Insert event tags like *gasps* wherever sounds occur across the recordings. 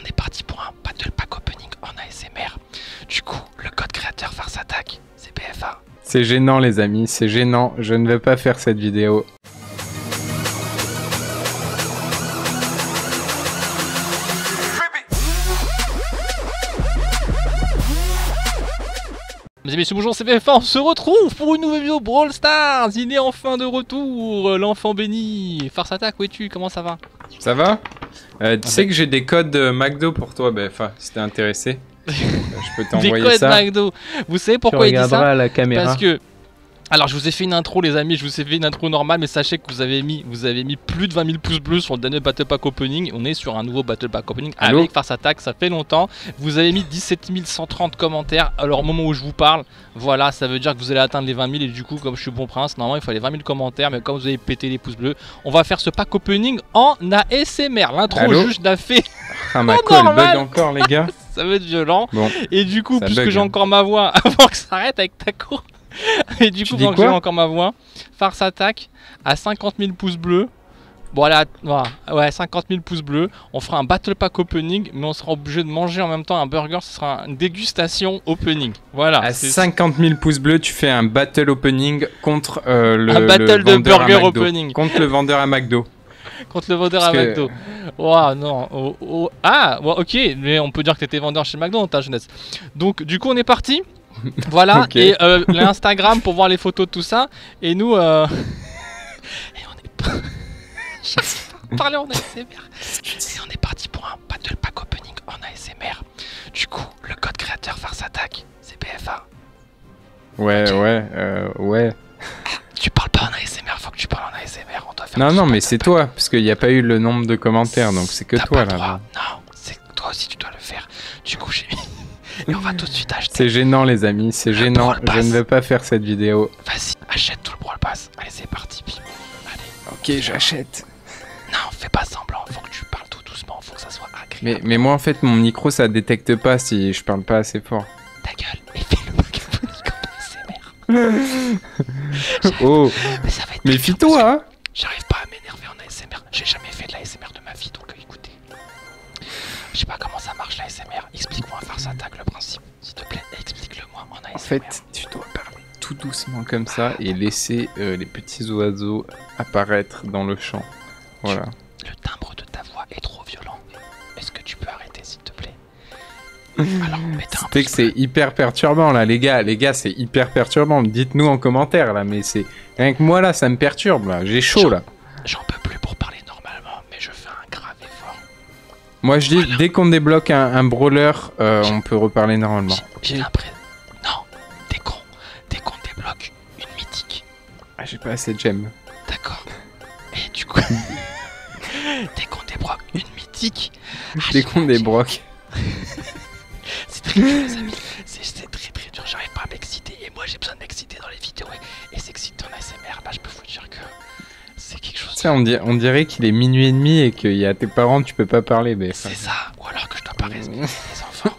on est parti pour un battle pack opening en ASMR. Du coup, le code créateur farce attaque, c'est PFA C'est gênant les amis, c'est gênant, je ne vais pas faire cette vidéo. Mes amis, c'est bonjour, c'est BFA, on se retrouve pour une nouvelle vidéo Brawl Stars Il est enfin de retour, l'enfant béni Farce attaque, où es-tu Comment ça va ça va euh, Tu ah sais ben. que j'ai des codes McDo pour toi, ben, si t'es intéressé. *laughs* je peux t'envoyer ça. Des codes McDo Vous savez pourquoi il dit ça Parce que... Alors je vous ai fait une intro les amis, je vous ai fait une intro normale mais sachez que vous avez mis, plus de 20 000 pouces bleus sur le dernier Battle Pack Opening, on est sur un nouveau Battle Pack Opening avec Farce Attack, ça fait longtemps, vous avez mis 17 130 commentaires alors au moment où je vous parle, voilà, ça veut dire que vous allez atteindre les 20 000 et du coup, comme je suis bon prince, normalement il faut les 20 000 commentaires, mais comme vous avez pété les pouces bleus, on va faire ce pack opening en ASMR. L'intro juste l'a *laughs* fait. Ah, ma oh, bug encore, les gars. *laughs* ça va être violent. et du coup, puisque j'ai hein. encore ma voix *laughs* avant que ça arrête avec ta et du coup, j'ai encore ma voix, Farce attaque à 50 000 pouces bleus. Voilà, voilà, ouais, 50 000 pouces bleus. On fera un battle pack opening, mais on sera obligé de manger en même temps un burger. Ce sera une dégustation opening. Voilà. À 50 000 pouces bleus, tu fais un battle opening contre euh, le. battle de burger opening. Contre le vendeur à McDo. *laughs* contre le vendeur à McDo. non. Oh, oh. Ah, ok, mais on peut dire que t'étais vendeur chez McDo dans ta jeunesse. Donc, du coup, on est parti. *laughs* Voilà, et euh, l'Instagram pour voir les photos de tout ça. Et nous. Euh, *laughs* on est pas. Si on est parti pour un battle pack opening en ASMR. Du coup, le code créateur Farce attaque c'est BFA. Ouais, ouais, euh, ouais. Ah, tu parles pas en ASMR, faut que tu parles en ASMR. On doit faire non, non, mais c'est toi, parce qu'il n'y a pas eu le nombre de commentaires, donc c'est que toi là. Non, c'est toi aussi, tu dois le faire. Du coup, j'ai mis. *laughs* Et on va tout de suite acheter. C'est gênant, les amis, c'est gênant. Je ne veux pas faire cette vidéo. Vas-y, achète tout le Brawl Pass. Allez, c'est parti, Allez. Ok, j'achète. Non, fais pas semblant. Faut que tu parles tout doucement. Faut que ça soit agréable. Mais, moi, en fait, mon micro, ça détecte pas si je parle pas assez fort. Ta gueule. Mais fais le *laughs* oh. Mais ça va être. Mais fais-toi, hein. J'arrive pas à m'énerver en ASMR. J'ai jamais fait de la l'ASMR de ma vie, donc euh, écoutez. Je sais pas comment ça marche la l'ASMR. Explique-moi à faire ça, tag le principe. S'il te plaît, explique-le-moi en fait, tu dois parler tout doucement comme ça et laisser euh, les petits oiseaux apparaître dans le champ. Voilà. Le timbre de ta voix est trop violent. Est-ce que tu peux arrêter, s'il te plaît Alors, sais *laughs* que c'est hyper perturbant là, les gars. Les gars, c'est hyper perturbant. Dites-nous en commentaire là, mais c'est rien moi là, ça me perturbe J'ai chaud là. J'en peux plus pour parler normalement, mais je fais un grave effort. Moi, je dis, dès qu'on débloque un, brawler, euh, on peut reparler normalement. Non, dès qu'on dès qu'on débloque une mythique. Ah, j'ai pas assez de gemmes. D'accord. Et du coup, *laughs* dès qu'on débloque une mythique. dès ah, qu'on débloque. *laughs* c'est très dur, les amis. C'est très très dur. J'arrive pas à m'exciter. Et moi, j'ai besoin de m'exciter dans les vidéos. Et, et s'exciter en ASMR, bah, je peux vous dire que c'est quelque chose. on, dirait qu'il est minuit et demi et qu'il y a tes parents, tu peux pas parler. Mais... C'est ça. Ou alors que je dois pas respecter mm. les enfants.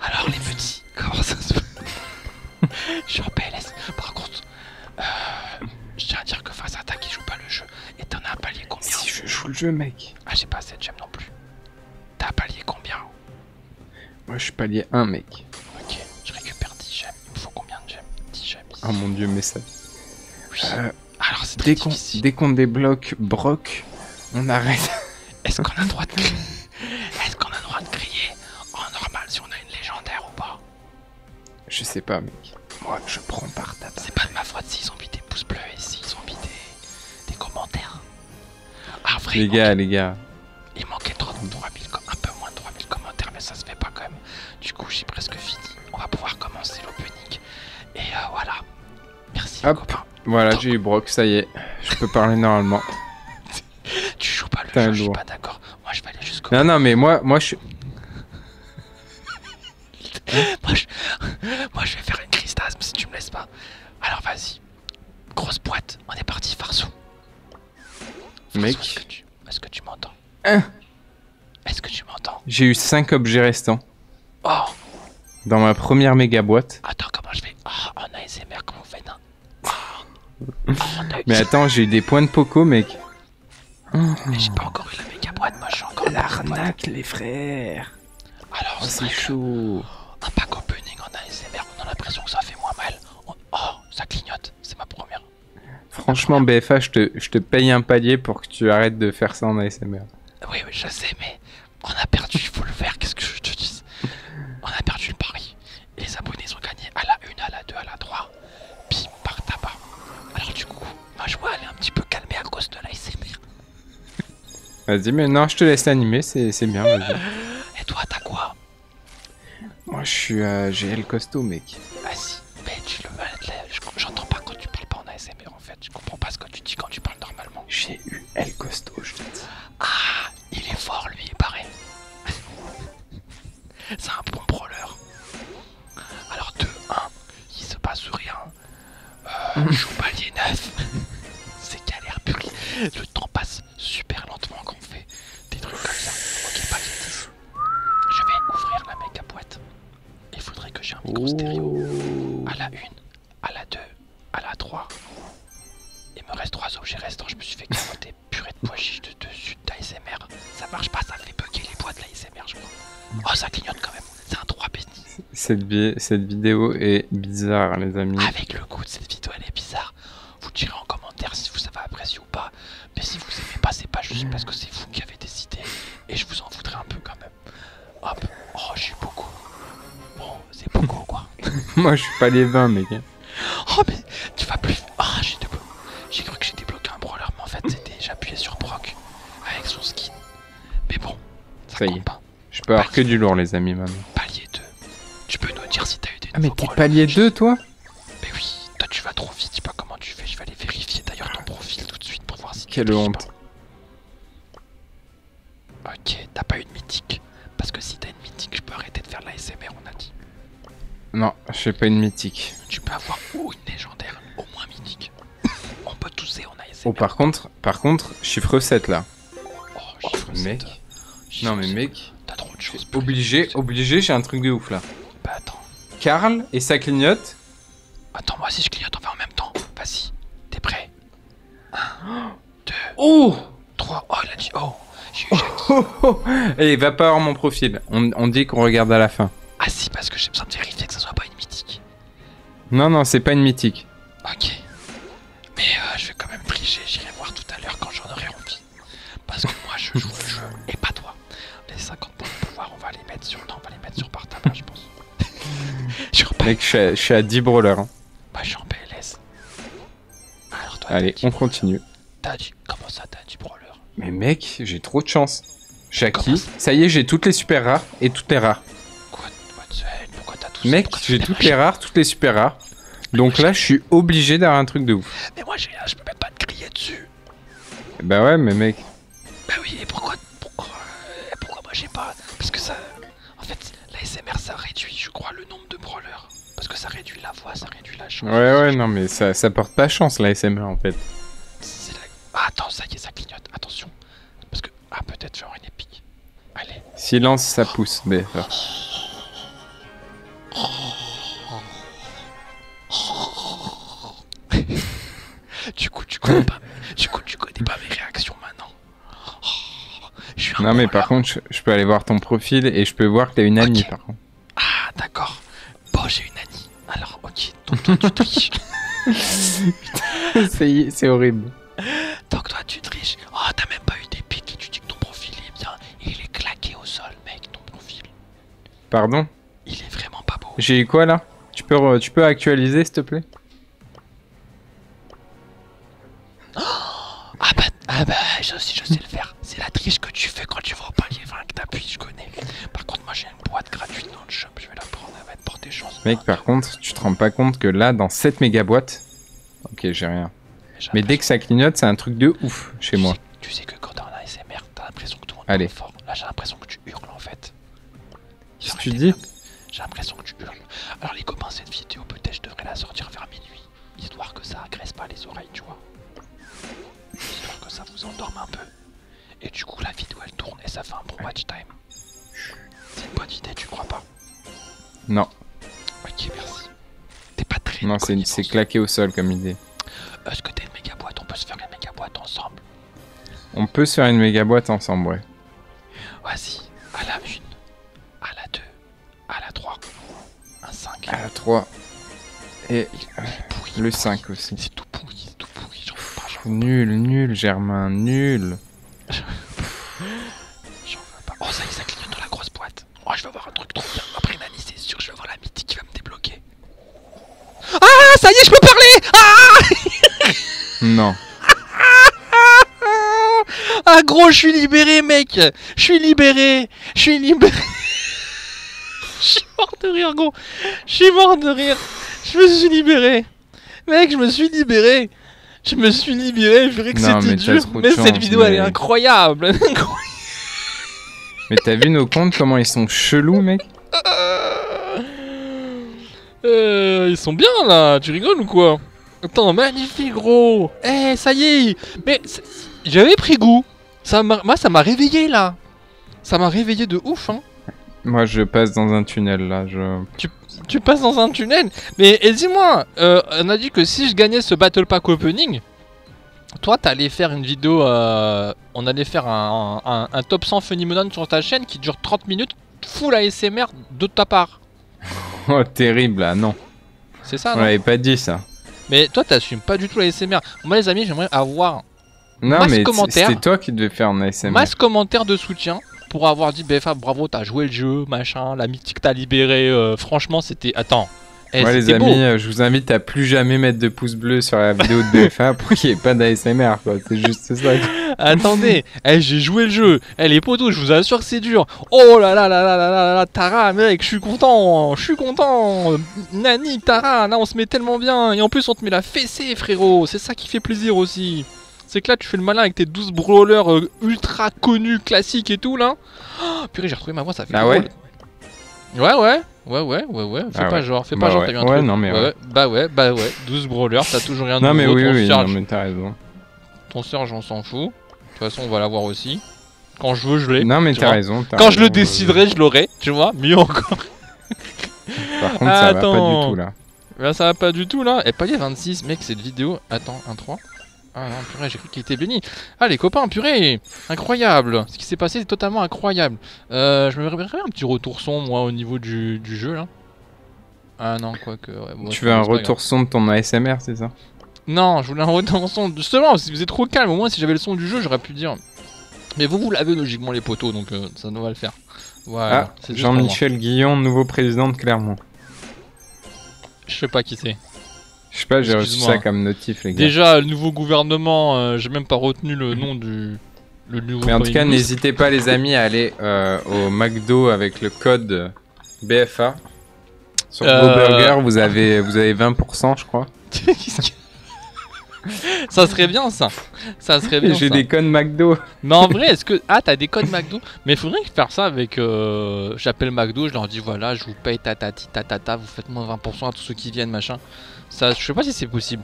Alors les petits, *laughs* comment ça se passe Je suis en PLS. Par contre, euh, je tiens à dire que face à ta qui joue pas le jeu, et t'en as un palier combien Si je joue le jeu, mec. Ah, j'ai pas assez de gemmes non plus. T'as un palier combien Moi, je suis palier 1, mec. Ok, je récupère 10 gemmes. Il me faut combien de gemmes 10 gemmes. Ah mon dieu, mais ça. Oui. Euh, alors c'est dès qu'on dès qu'on débloque Brock, on arrête. *laughs* Est-ce qu'on a le droit de crier Est-ce qu'on a le droit de crier en normal si on a une légendaire ou pas Je sais pas mec. Moi je prends par ta C'est pas de ma faute s'ils ont mis des pouces bleus et s'ils ont mis des, commentaires. Ah vrai. Les gars, les gars. Il manquait un peu moins de 3000 commentaires mais ça se fait pas quand même. Du coup, j'ai presque fini. On va pouvoir commencer punique. Et euh, voilà. Merci. Hop. voilà, j'ai eu Brock, ça y est. Je peux parler normalement. *laughs* tu joues pas le jeu, je suis pas d'accord. Moi, je vais aller jusqu'au. Non, non, mais moi, moi, je. suis... *laughs* moi, je vais faire une crise si tu me laisses pas. Alors, vas-y. Grosse boîte, on est parti, farceau. Mec. Est-ce que tu m'entends Hein Est-ce que tu m'entends J'ai eu 5 objets restants. Oh. Dans ma première méga boîte. Attends, comment je fais Oh, on a ASMR, comment fait Mais attends, j'ai eu des points de Poco, mec. Mais j'ai pas encore eu la méga boîte, moi suis encore l'arnaque, les frères. Alors, c'est chaud. Un pack opening en ASMR, on a l'impression que ça fait moins mal. Oh, ça clignote, c'est ma première. Franchement, BFA, je te, je paye un palier pour que tu arrêtes de faire ça en ASMR. Oui, je sais, mais on a perdu, il faut le faire, qu'est-ce que je te dis On a perdu le pari. Les abonnés ont gagné à la 1, à la 2, à la 3. Bim, par tabac. Alors du coup, ma joie, elle est un petit peu calmée à cause de l'ASMR. Vas-y, mais non, je te laisse animer, c'est bien, vas-y. Et toi, t'as quoi Moi, je suis à euh, GL costaud, mec. Vas-y. Mais le euh, J'entends pas quand tu parles pas en ASMR en fait. Je comprends pas ce que tu dis quand tu parles normalement. J'ai eu El Costo, je te Ah, il est fort lui, pareil. *laughs* C'est un bon brawler. Alors 2-1, il se passe rien. Euh, *laughs* Palier 9. *laughs* C'est galère pure. Le temps passe super lentement quand on fait des trucs comme ça. Ok, Je vais ouvrir la à boîte. Il faudrait que j'ai un micro stéréo à la 1, à la 2, à la 3. Il me reste 3 objets restants, je me suis fait carotter *laughs* purée de pois de dessus d'ASMR. Ça marche pas, ça fait bugger les bois de l'ASMR, je crois. Oh, ça clignote quand même, c'est un 3 business. Cette, vidéo est bizarre, les amis. Avec le coup de cette vidéo, elle est bizarre. Vous direz en commentaire si vous avez apprécié ou pas. Mais si vous aimez pas, c'est pas juste parce que c'est vous qui avez décidé. Et je vous en voudrais un peu quand même. Hop, oh, j'ai beaucoup. Bon, c'est beaucoup quoi. *laughs* Moi, je suis pas les 20, mec. Oh, mais tu vas plus. Ah, oh, j'ai cru que j'ai débloqué un brawler, mais en fait, c'était j'appuyais sur Brock avec son skin. Mais bon, ça, pas. Je peux avoir que du lourd, les amis, maman. Palier 2. Tu peux nous dire si t'as eu des. Ah, mais t'es palier 2, toi Mais oui tu vas trop vite, sais pas comment tu fais. Je vais aller vérifier d'ailleurs ton profil tout de suite pour voir si Quelle honte. Ok, t'as pas une mythique. Parce que si t'as une mythique, je peux arrêter de faire la on a dit. Non, j'ai pas une mythique. Tu peux avoir une légendaire, au moins mythique. on peut tousser, on a Oh, par contre, par contre, chiffre 7 là. Oh, oh chiffre 7. non, mais mec. T'as trop de choses. Obligé, obligé, j'ai un truc de ouf là. Bah attends. Karl et sa clignote. Attends, moi si je clique, on va en même temps. Vas-y, t'es prêt 1, 2, 3. Oh, il a dit oh. *laughs* oh, oh, oh. Et eh, va pas avoir mon profil. On, dit qu'on regarde à la fin. Ah si, parce que j'ai besoin de vérifier que ça soit pas une mythique. Non, non, c'est pas une mythique. Ok. Mais euh, je vais quand même tricher, j'irai voir tout à l'heure quand j'en aurai envie. Parce que moi, je joue le jeu et pas toi. Les 50 points de pouvoir, on va les mettre sur. Non, on va les mettre sur partage, je pense. *laughs* Mec, je suis, à, 10 brawlers. Hein. Bah, je suis en PLS. Allez, on continue. Comment ça, t'as 10 brawler Mais mec, j'ai trop de chance. J'ai acquis ça y est, j'ai toutes les super rares et toutes les rares. Pourquoi t'as tout Mec, j'ai toutes les rares, toutes les super rares. Donc là, je suis obligé d'avoir un truc de ouf. Mais moi, je peux pas te crier dessus. Bah ouais, mais mec. Bah oui, et pourquoi, pourquoi, euh, pourquoi moi j'ai pas Parce que ça, en fait, la smr ça réduit, je crois, le nombre de brawlers. Parce que ça réduit la voix, ça réduit la chance. Ouais, ouais, non, mais ça, porte pas chance la l'ASMR en fait. Ah, attends, ça y est, ça clignote, attention. Parce que, ah, peut-être genre une épique. Allez. Silence, ça pousse, mais *laughs* du coup, tu connais pas, coup, tu connais pas mes réactions maintenant. Oh, non, mais par contre, je, peux aller voir ton profil et je peux voir que t'as une Annie par contre. Ah, d'accord. Bon, j'ai une Annie. Alors, ok, donc toi, tu triches. *laughs* C'est horrible. que toi, tu triches. Oh, t'as même pas eu des piques. et tu dis que ton profil est bien. Il est claqué au sol, mec, ton profil. Pardon il est vraiment pas beau. J'ai eu quoi là tu peux, actualiser s'il te plaît *gasps* ah, bah, ah je bah, sais, je sais le faire. C'est la triche que tu fais quand tu vas au palier 20 que t'appuies, je connais. Par contre, moi j'ai une boîte gratuite dans le shop, je vais la prendre, elle va être porter chance. Mec, par contre, tu te rends pas compte que là, dans cette méga boîte. Ok, j'ai rien. Mais dès que ça clignote, c'est un truc de ouf chez moi. tu sais que quand t'es en ASMR, t'as l'impression que tout le monde fort. Là, j'ai l'impression que tu hurles en fait. J'ai l'impression que tu hurles. Alors les copains, cette vidéo, peut-être je devrais la sortir vers minuit. Histoire que ça agresse pas les oreilles, tu vois. Histoire que ça vous endorme un peu. Et du coup, la vidéo, elle tourne et ça fait un bon watch time. C'est une bonne idée, tu crois pas Non. Ok, merci. T'es pas très... Non, c'est claqué au sol comme idée. Est-ce que t'es une méga boîte On peut se faire une méga boîte ensemble on peut se faire une méga boîte ensemble, ouais. Vas-y, à la 1, à la 2, à la 3, un 5. À la 3. Et le 5 aussi. C'est tout pourri, c'est tout pourri, j'en veux pas. J'en nul, nul, Germain, nul. j'en veux pas. Oh, ça y est, ça clignote dans la grosse boîte. Moi je vais avoir un truc trop bien. Après une c'est sûr, je vais avoir la mythique qui va me débloquer. Ah, ça y est, je peux parler ah *laughs* Non. *laughs* Ah gros, je suis libéré, mec Je suis libéré Je suis libéré *laughs* Je suis mort de rire, gros Je suis mort de rire Je me suis libéré Mec, je me suis libéré Je me suis libéré, je que dur, mais cette vidéo, elle est incroyable Mais t'as vu nos comptes, comment ils sont chelous, mec euh, euh, ils sont bien là, tu rigoles ou quoi Attends, magnifique gros Eh, ça y est Mais j'avais pris goût ça Moi, ça m'a réveillé là Ça m'a réveillé de ouf, hein Moi, je passe dans un tunnel là, je... Tu, passes dans un tunnel Mais dis-moi, euh, on a dit que si je gagnais ce Battle Pack Opening, toi, t'allais faire une vidéo euh, on allait faire un, top 100 Funny sur ta chaîne qui dure 30 minutes, full ASMR de ta part. *laughs* oh, terrible, là, ah, non. C'est ça, On l'avait pas dit, ça. Mais toi, t'assumes pas du tout la Moi, les amis, j'aimerais avoir. Non, masse mais c'est toi qui devais faire un ASMR. Masse commentaire de soutien pour avoir dit BFA, ben, bravo, t'as joué le jeu, machin, la mythique t'as libéré. Euh, franchement, c'était. Attends. Eh, les amis, euh, je vous invite à plus jamais mettre de pouce bleu bleus sur la vidéo de BF1 pour qu'il n'y ait pas d'ASMR, quoi. C'est juste ça. Attendez, eh, j'ai joué le jeu. elle eh, les potos, je vous assure que c'est dur. Oh là là là là là là là, Tara, mec, je suis content, je suis content. Nani, Tara, là, on se met tellement bien. Et en plus, on te met la fessée, frérot. C'est ça qui fait plaisir aussi. C'est que là, tu fais le malin avec tes 12 brawlers euh, ultra connus, classiques et tout, là. Oh, purée, j'ai retrouvé ma voix, ça fait Ah ouais Ouais, ouais. Ouais, ouais, ouais, ouais. Fais ah bah pas genre, fais pas genre, t'as un ouais. Bah ouais, bah ouais. 12 brawlers, t'as toujours rien de non, Mais oui, ton oui, raison. Ton Serge, on s'en fout. De toute façon, on va l'avoir aussi. Quand je veux, je l'ai. Non, mais t'as raison. Quand je le déciderai, je l'aurai, tu vois. Mieux encore. *laughs* Par contre, ça Attends. va pas du tout là. Bah, ça va pas du tout là. Et eh, pas les 26, mec, cette vidéo. Attends, 1-3. Ah non, purée, j'ai cru qu'il était béni. Ah, les copains, purée Incroyable Ce qui s'est passé, est totalement incroyable. Euh, je me verrais un petit retour son, moi, au niveau du, jeu, là. Ah non, quoique... tu veux un retour son de ton ASMR, c'est ça Non, je voulais un retour son... Justement, si vous êtes trop calme, au moins, si j'avais le son du jeu, j'aurais pu dire... Mais vous, vous l'avez logiquement, les poteaux, donc euh, ça nous va le faire. Voilà. Ah, Jean-Michel Guillon, nouveau président de Clermont. Je sais pas qui c'est. Je sais pas, j'ai reçu ça comme notif, les gars. Déjà, le nouveau gouvernement, euh, j'ai même pas retenu le *clears throat* nom du... Mais en tout cas, n'hésitez pas, les amis, à aller euh, au McDo avec le code BFA. Sur vos euh, burgers vous avez, vous avez 20%, je crois. *laughs* ça serait bien, ça. serait J'ai des codes McDo. Mais en vrai, est-ce que. Ah, t'as des codes McDo Mais faudrait faire ça avec. Euh, j'appelle McDo, je leur dis voilà, je vous paye tatati tatata, vous faites moins 20% à tous ceux qui viennent, machin. Ça, je sais pas si c'est possible.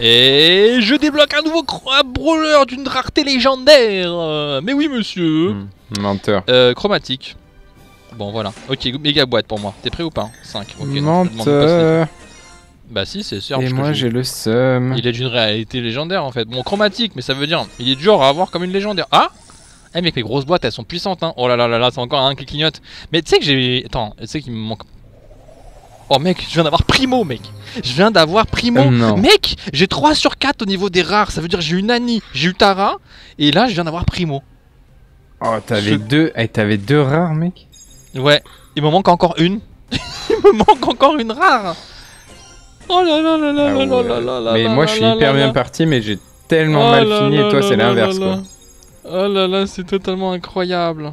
Et je débloque un nouveau brawler d'une rareté légendaire euh, Mais oui, monsieur hmm, Menteur. Euh, chromatique. Bon, voilà. Ok, méga boîte pour moi. T'es prêt ou pas 5. menteur Bah si, c'est sûr. Et moi, j'ai le sum Il est d'une réalité légendaire, en fait. Bon, chromatique, mais ça veut dire... Il est dur à avoir comme une légendaire. Ah Eh, mec, les grosses boîtes, elles sont puissantes, hein Oh là là là là, c'est encore un qui clignote. Mais tu sais que j'ai... Attends, tu sais qu'il me manque Oh mec, je viens d'avoir primo mec Je viens d'avoir primo oh, Mec J'ai 3 sur 4 au niveau des rares, ça veut dire j'ai eu Nani, j'ai eu Tara, et là je viens d'avoir primo. Oh t'avais deux. Eh, t'avais deux rares mec Ouais, il me manque encore une. *laughs* il me manque encore une rare Oh Mais moi je suis hyper bien parti mais j'ai tellement oh mal fini et toi c'est l'inverse quoi. Oh là là, c'est totalement incroyable.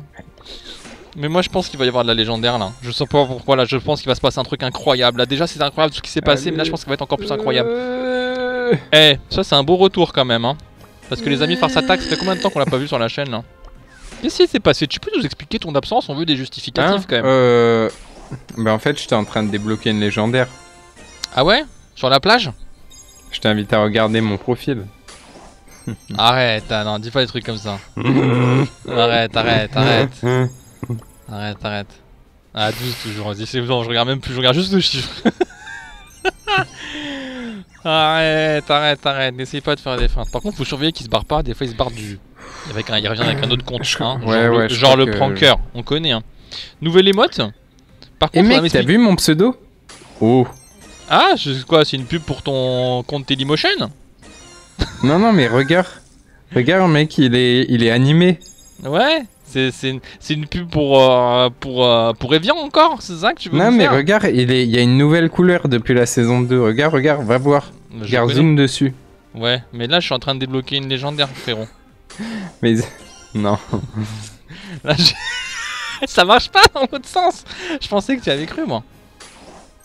Mais moi je pense qu'il va y avoir de la légendaire là. Je sais pas pourquoi là, je pense qu'il va se passer un truc incroyable. Là déjà c'est incroyable ce qui s'est passé, mais là je pense qu'il va être encore plus incroyable. Euh. Eh, ça c'est un beau retour quand même. Hein. Parce que les amis, Farce Attack, ça fait combien de temps qu'on l'a pas vu sur la chaîne là Qu'est-ce qui s'est passé Tu peux nous expliquer ton absence On veut des justificatifs hein quand même. Euh... Bah en fait j'étais en train de débloquer une légendaire. Ah ouais Sur la plage Je t'invite à regarder mon profil. *laughs* Arrête, non, dis pas des trucs comme ça. arrête, arrête, arrête. Arrête, arrête. Ah, 12 toujours, c'est bon. je regarde même plus, je regarde juste le chiffre. *laughs* arrête, arrête, arrête, n'essaye pas de faire des feintes. Par contre, faut surveiller qu'il se barre pas, des fois il se barre du. il revient avec un autre compte, hein. genre, le, genre pranker, on connaît. Hein. Nouvelle émote Par eh contre, t'as vu mon pseudo Oh Ah, c'est quoi C'est une pub pour ton compte télémotion *laughs* Non, non, mais regarde. regarde, mec, il est, il est animé. Ouais c'est une, pub pour, euh, pour, euh, pour Evian encore, c'est ça que tu veux Non, mais regarde, il, il y a une nouvelle couleur depuis la saison 2. Regarde, regarde, va voir. regarde, zoom dessus. Ouais, mais là je suis en train de débloquer une légendaire, frérot. mais. Non. *laughs* *laughs* ça marche pas en sens Je pensais que tu avais cru, moi.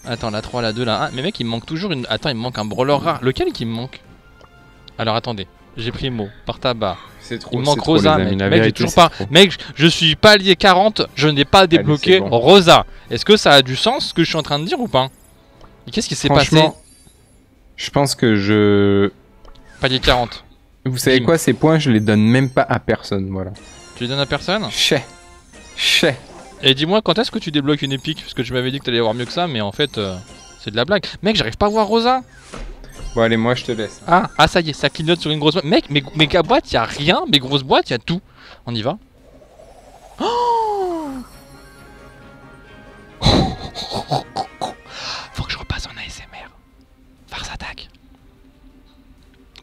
Attends, la 3, la 2, la 1. Mais mec, il manque toujours une... Attends, il manque un brawler rare. Lequel qui me manque Alors, attendez. J'ai pris mot par tabac. C'est trop. Il manque Rosa, mec. toujours pas... mec, je suis palier 40, je n'ai pas débloqué Rosa. Est-ce que ça a du sens ce que je suis en train de dire ou pas Qu'est-ce qui s'est passé Je pense que je. Palier 40. Vous savez quoi, ces points, je les donne même pas à personne, voilà. Tu les donnes à personne Chais. Chais. Et dis-moi, quand est-ce que tu débloques une épique Parce que je m'avais dit que t'allais avoir mieux que ça, mais en fait, euh, c'est de la blague. Mec, j'arrive pas à voir Rosa Bon, allez, moi, je te laisse. Ah, ah ça y est, ça clignote sur une grosse boîte. Mec, mes, mes boîte, y rien. Mes grosses boîtes, y'a tout. On y va. Oh *gasps* Faut que je repasse en ASMR. Farce attaque.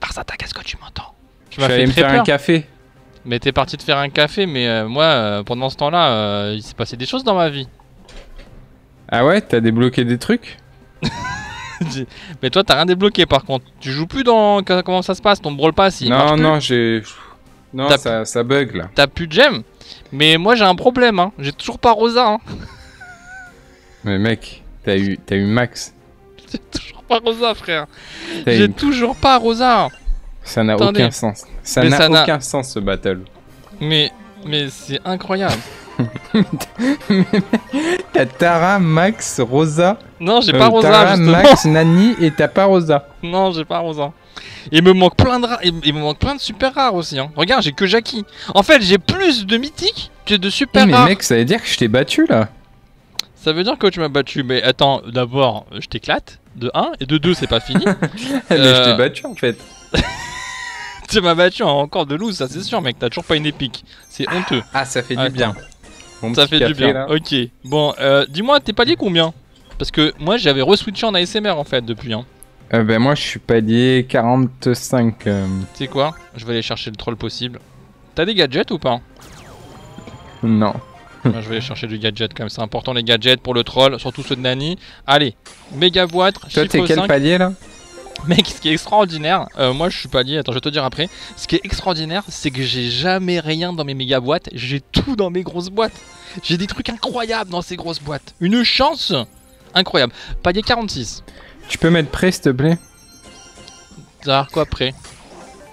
Farce attaque, est-ce que tu m'entends Tu vas me faire un café. Mais t'es parti de faire un café, mais moi, euh, pendant ce temps-là, euh, il s'est passé des choses dans ma vie. Ah ouais, t'as débloqué des trucs *laughs* Mais toi, t'as rien débloqué par contre. Tu joues plus dans. Comment ça se passe Ton Brawl pas si Non, non, j'ai. Non, ça, ça, bug là. T'as plus de gemmes. Mais moi, j'ai un problème, hein. J'ai toujours pas Rosa, hein. *laughs* Mais mec, t'as eu, as eu Max. *laughs* J'ai toujours pas Rosa, frère. J'ai toujours pas Rosa. Ça n'a aucun sens. Ça n'a aucun sens ce battle. Mais, mais c'est incroyable. *laughs* t'as Tara, Max, Rosa. Non, j'ai euh, pas Rosa. Tara, Max, Nani et t'as pas Rosa. *laughs* Non, j'ai pas Rosa. Et il me manque plein de Il me manque plein de super rares aussi. Hein. Regarde, j'ai que Jackie. En fait, j'ai plus de mythiques tu es de super mais mec, ça veut dire que je t'ai battu là. Ça veut dire que tu m'as battu, mais attends, d'abord, je t'éclate, de 1, et de 2, c'est pas fini. *laughs* mais je t'ai euh. battu en fait. *laughs* tu m'as battu encore de loose, ça c'est sûr, mec, t'as toujours pas une épique. C'est honteux. Ah, ça fait du bien. ça fait du bien, ok. Bon, euh, dis-moi, t'es palier combien Parce que moi j'avais re-switché en ASMR en fait depuis. Hein. Euh, ben moi je suis palier 45. Tu sais quoi Je vais aller chercher le troll possible. T'as des gadgets ou pas Non. *laughs* je vais chercher du gadget quand même, c'est important les gadgets pour le troll, surtout ceux de Nani. Allez, méga boîte. Toi, t'es quel palier là Mec, ce qui est extraordinaire, euh, moi je suis palier, attends, je vais te dire après. Ce qui est extraordinaire, c'est que j'ai jamais rien dans mes méga boîtes, j'ai tout dans mes grosses boîtes. J'ai des trucs incroyables dans ces grosses boîtes. Une chance incroyable. Palier 46. Tu peux mettre prêt, s'il te plaît quoi après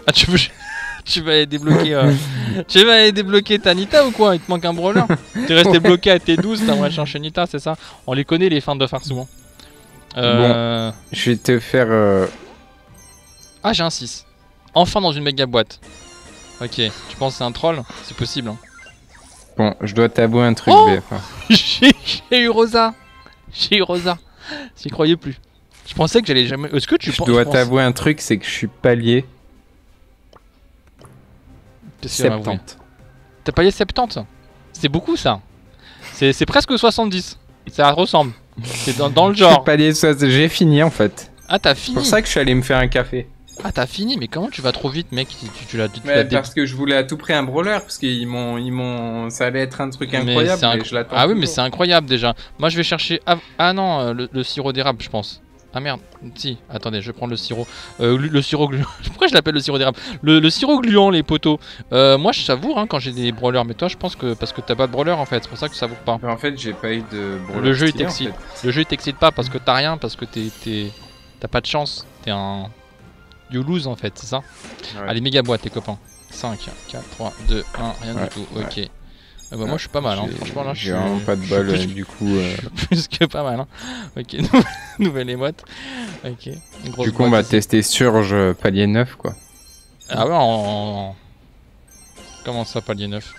Ah tu veux... *laughs* tu vas aller débloquer euh... *laughs* tu vas débloquer Tanita ou quoi Il te manque un brawler Tu resté bloqué à T12, t'as changé Nita, c'est ça On les connaît les fans de far souvent. Euh... je vais te faire... Euh, ah j'ai un 6. Enfin dans une méga boîte. Ok, tu penses c'est un troll C'est possible. Hein. Bon, je dois tabouer un truc, oh *laughs* J'ai eu Rosa *laughs* eu Rosa. J'y croyais plus. Je pensais que j'allais jamais. Est-ce que tu Je dois t'avouer un truc, c'est que je suis palier. 70. T'as palier 70 C'est beaucoup ça. C'est presque 70. Ça ressemble. C'est dans, le *laughs* genre. palier J'ai fini en fait. Ah, t'as fini. C'est pour ça que je suis allé me faire un café. Ah, t'as fini, mais comment tu vas trop vite, mec Tu, l'as parce que je voulais à tout prix un brawler, parce qu'ils m'ont, ils m'ont, ça allait être un truc incroyable. je ah oui, mais c'est incroyable déjà. Moi, je vais chercher. Ah, non, euh, le, sirop d'érable, je pense. Ah merde, si, attendez, je vais prendre le sirop. Euh, le sirop gluant. *laughs* Pourquoi je l'appelle le sirop d'érable le, sirop gluant, les poteaux. Euh, moi, je savoure hein, quand j'ai des brawlers, mais toi, je pense que parce que t'as pas de brawler en fait, c'est pour ça que tu savoures pas. en fait, j'ai pas eu de Le jeu, il t'excite. Le jeu, il t'excite pas parce que t'as rien, parce que t'es. T'as pas de chance. T'es un. You lose en fait, c'est ça Allez, méga boîte, les copains. 5, 4, 3, 2, 1, rien du tout. Ok. Ah bah moi je suis pas mal, hein. franchement là je suis. pas de bol euh, du coup. Euh. *laughs* plus que pas mal. Hein. Ok, *laughs* nouvelle émote. Ok. du coup on va tester Surge euh, palier 9 quoi. Ah ouais, Comment ça palier 9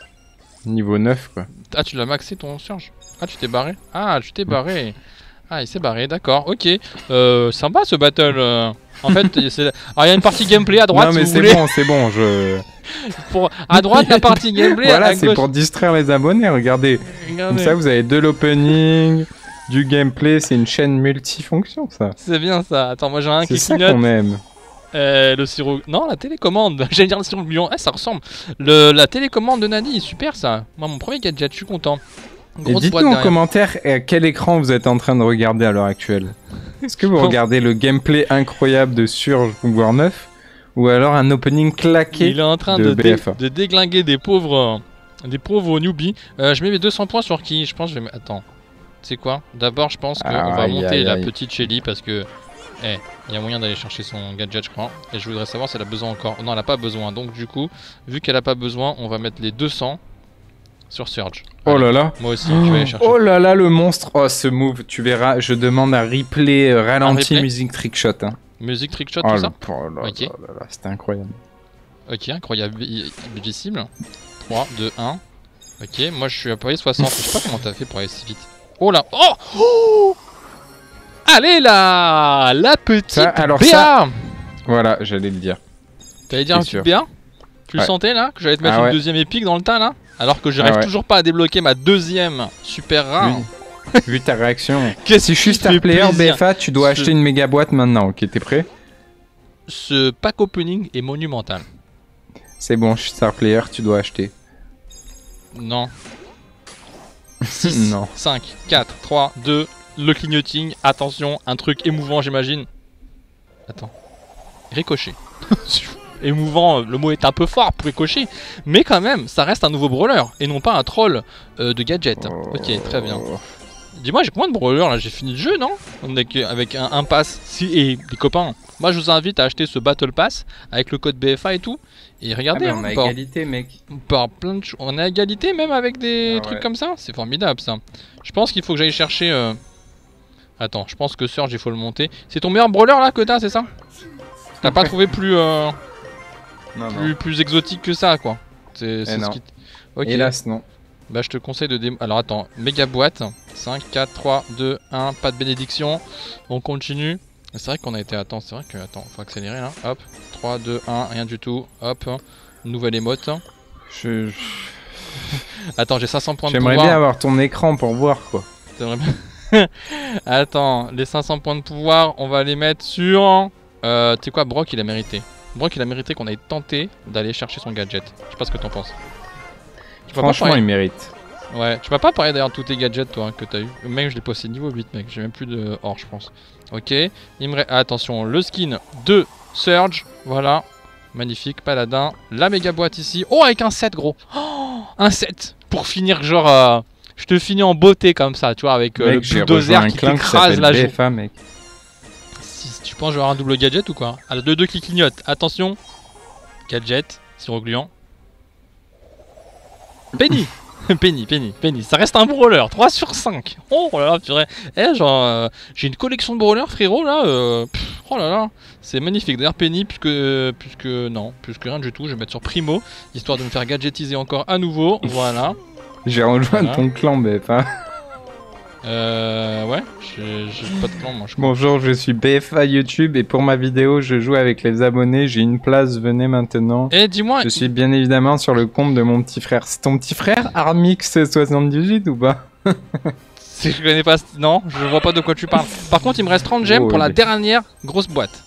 Niveau 9 quoi. Ah tu l'as maxé ton Surge Ah tu t'es barré Ah tu t'es barré ah, il s'est barré, d'accord, ok. Euh, sympa ce battle. Euh. En fait, *laughs* ah, il y a une partie gameplay à droite, non, mais c'est bon, c'est bon. Je... *laughs* Pour... À droite, la partie *laughs* gameplay, Voilà, c'est pour distraire les abonnés. Regardez, comme ça, vous avez de l'opening, du gameplay. C'est une chaîne multifonction, ça. C'est bien ça. Attends, moi j'ai un C'est qui ça qu'on aime. Euh, le sirop. Non, la télécommande. J'allais dire le sirop de Ah, ça ressemble. La télécommande de Nani, super ça. Moi, mon premier gadget, je suis content. Et dites-nous en commentaire à quel écran vous êtes en train de regarder à l'heure actuelle. *laughs* Est-ce que vous regardez le gameplay incroyable de Surge War 9 ou alors un opening claqué Il est en train de, déglinguer des pauvres, euh, des pauvres newbies. Euh, je mets mes 200 points sur qui Je pense que je vais... Attends, c'est quoi D'abord, je pense qu'on va monter la petite Shelly parce que... Eh, il y a moyen d'aller chercher son gadget, je crois. Et je voudrais savoir si elle a besoin encore. Non, elle a pas besoin. Donc, du coup, Vu qu'elle a pas besoin, on va mettre les 200 sur Surge. oh là là. Moi aussi, oh. je vais chercher. Oh là là, le monstre. Oh, ce move, tu verras, je demande un replay euh, ralenti music musique trickshot. Hein. music Musique trickshot, oh tout ça oh là, là, C'était incroyable. Ok, incroyable. 3, 2, 1. Ok, moi je suis à Paris 60. je sais pas comment t'as fait pour aller si vite. Oh là Oh, oh Allez là La petite alors ça, Voilà, j'allais le dire. T'allais dire un super bien Tu le sentais là Que j'allais te mettre ah une deuxième épique dans le tas là Alors que j'arrive ah toujours pas à débloquer ma deuxième super rare. Vu, ta réaction. *laughs* Qu'est-ce que je suis star player BFA, tu dois acheter une méga boîte maintenant, ok T'es prêt Ce pack opening est monumental. C'est bon, je suis star player, tu dois acheter. Non. 6, *laughs* non. 5, 4, 3, 2, le clignoting, attention, un truc émouvant j'imagine. Attends. Ricochet. *laughs* émouvant, le mot est un peu fort pour ricocher, mais quand même, ça reste un nouveau brawler, et non pas un troll euh, de gadget. Ok, très bien. Dis-moi, j'ai combien de brawler là J'ai fini le jeu, non On est avec un, pass. Si, et les copains, moi je vous invite à acheter ce Battle Pass avec le code BFA et tout. Et regardez, ah, hein, mec par plein On est à égalité même avec des ah trucs comme ça C'est formidable ça. Je pense qu'il faut que j'aille chercher... Euh, attends, je pense que Surge, il faut le monter. C'est ton meilleur brawler là que t'as, c'est ça T'as pas trouvé plus, euh, plus, exotique que ça, quoi. C'est eh ce qui... Hélas, non. Bah, je te conseille de Alors, attends, méga boîte. 5, 4, 3, 2, 1, pas de bénédiction. On continue. C'est vrai qu'on a été... Attends, c'est vrai que... faut accélérer, Hop, 3, 2, 1, rien du tout hop, hein. nouvelle émote. Hein. Je... *laughs* Attends, j'ai 500 points de pouvoir. J'aimerais bien avoir ton écran pour voir quoi. *laughs* Attends, les 500 points de pouvoir, on va les mettre sur. Euh, tu sais quoi, Brock il a mérité. Brock il a mérité qu'on ait tenté d'aller chercher son gadget. Je sais pas ce que t'en penses. Franchement, il mérite. Ouais, tu m'as pas parler d'ailleurs de tous tes gadgets toi hein, que t'as eu. Même je l'ai passé niveau 8, mec. J'ai même plus de or, je pense. Ok. Il me attention, le skin de Surge. Voilà. Magnifique, paladin. La méga boîte ici. Oh, avec un 7, gros. Oh, un 7. Pour finir, genre. Euh, je te finis en beauté comme ça, tu vois, avec euh, le le bulldozer qui t'écrase la joue. mec. tu penses je vais avoir un double gadget ou quoi Ah, le 2-2 qui clignote. Attention. Gadget, sirogluant. Penny *laughs* Penny, Penny, Penny. Ça reste un brawler. 3 sur 5. *laughs* Oh là là, dirais. Eh, genre, euh, j'ai une collection de brawlers, frérot, là. Euh, oh là là. C'est magnifique. D'ailleurs, Penny, puisque, puisque. Non, puisque rien du tout. Je vais mettre sur Primo, histoire de me faire gadgetiser encore à nouveau. Voilà. *laughs* J'ai rejoint ton clan, BFA. Hein. Euh. Ouais, j'ai pas de clan, moi. Bonjour, je suis BFA YouTube et pour ma vidéo, je joue avec les abonnés. J'ai une place, venez maintenant. Eh, dis-moi. Je suis bien évidemment sur le compte de mon petit frère. C'est ton petit frère, Armix78 ou pas *laughs* Si je connais pas. Non, je vois pas de quoi tu parles. Par contre, il me reste 30 gemmes pour la oh, dernière grosse boîte.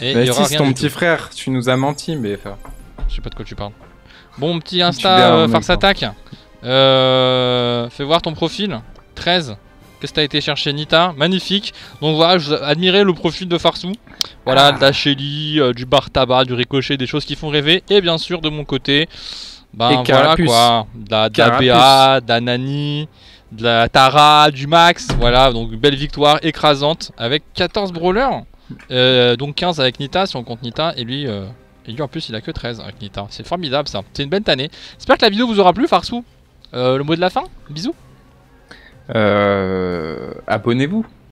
Et bah c'est ton petit frère, tu nous as menti, mais. Je sais pas de quoi tu parles. Bon, petit Insta euh, Farce attaque euh, fais voir ton profil. 13. Qu'est-ce que t'as été chercher, Nita Magnifique. Donc voilà, admirez le profil de Farsou. Voilà, ah. de la Shelly, euh, du bar tabac, du ricochet, des choses qui font rêver. Et bien sûr, de mon côté, ben voilà quoi, de la, de de la Tara, du Max. Voilà, donc belle victoire écrasante avec 14 brawlers. Euh, donc 15 avec Nita, si on compte Nita, et lui, euh, lui en plus il a que 13 avec Nita. C'est formidable ça, c'est une belle année. J'espère que la vidéo vous aura plu, Farsou. le mot de la fin, bisous. Abonnez-vous.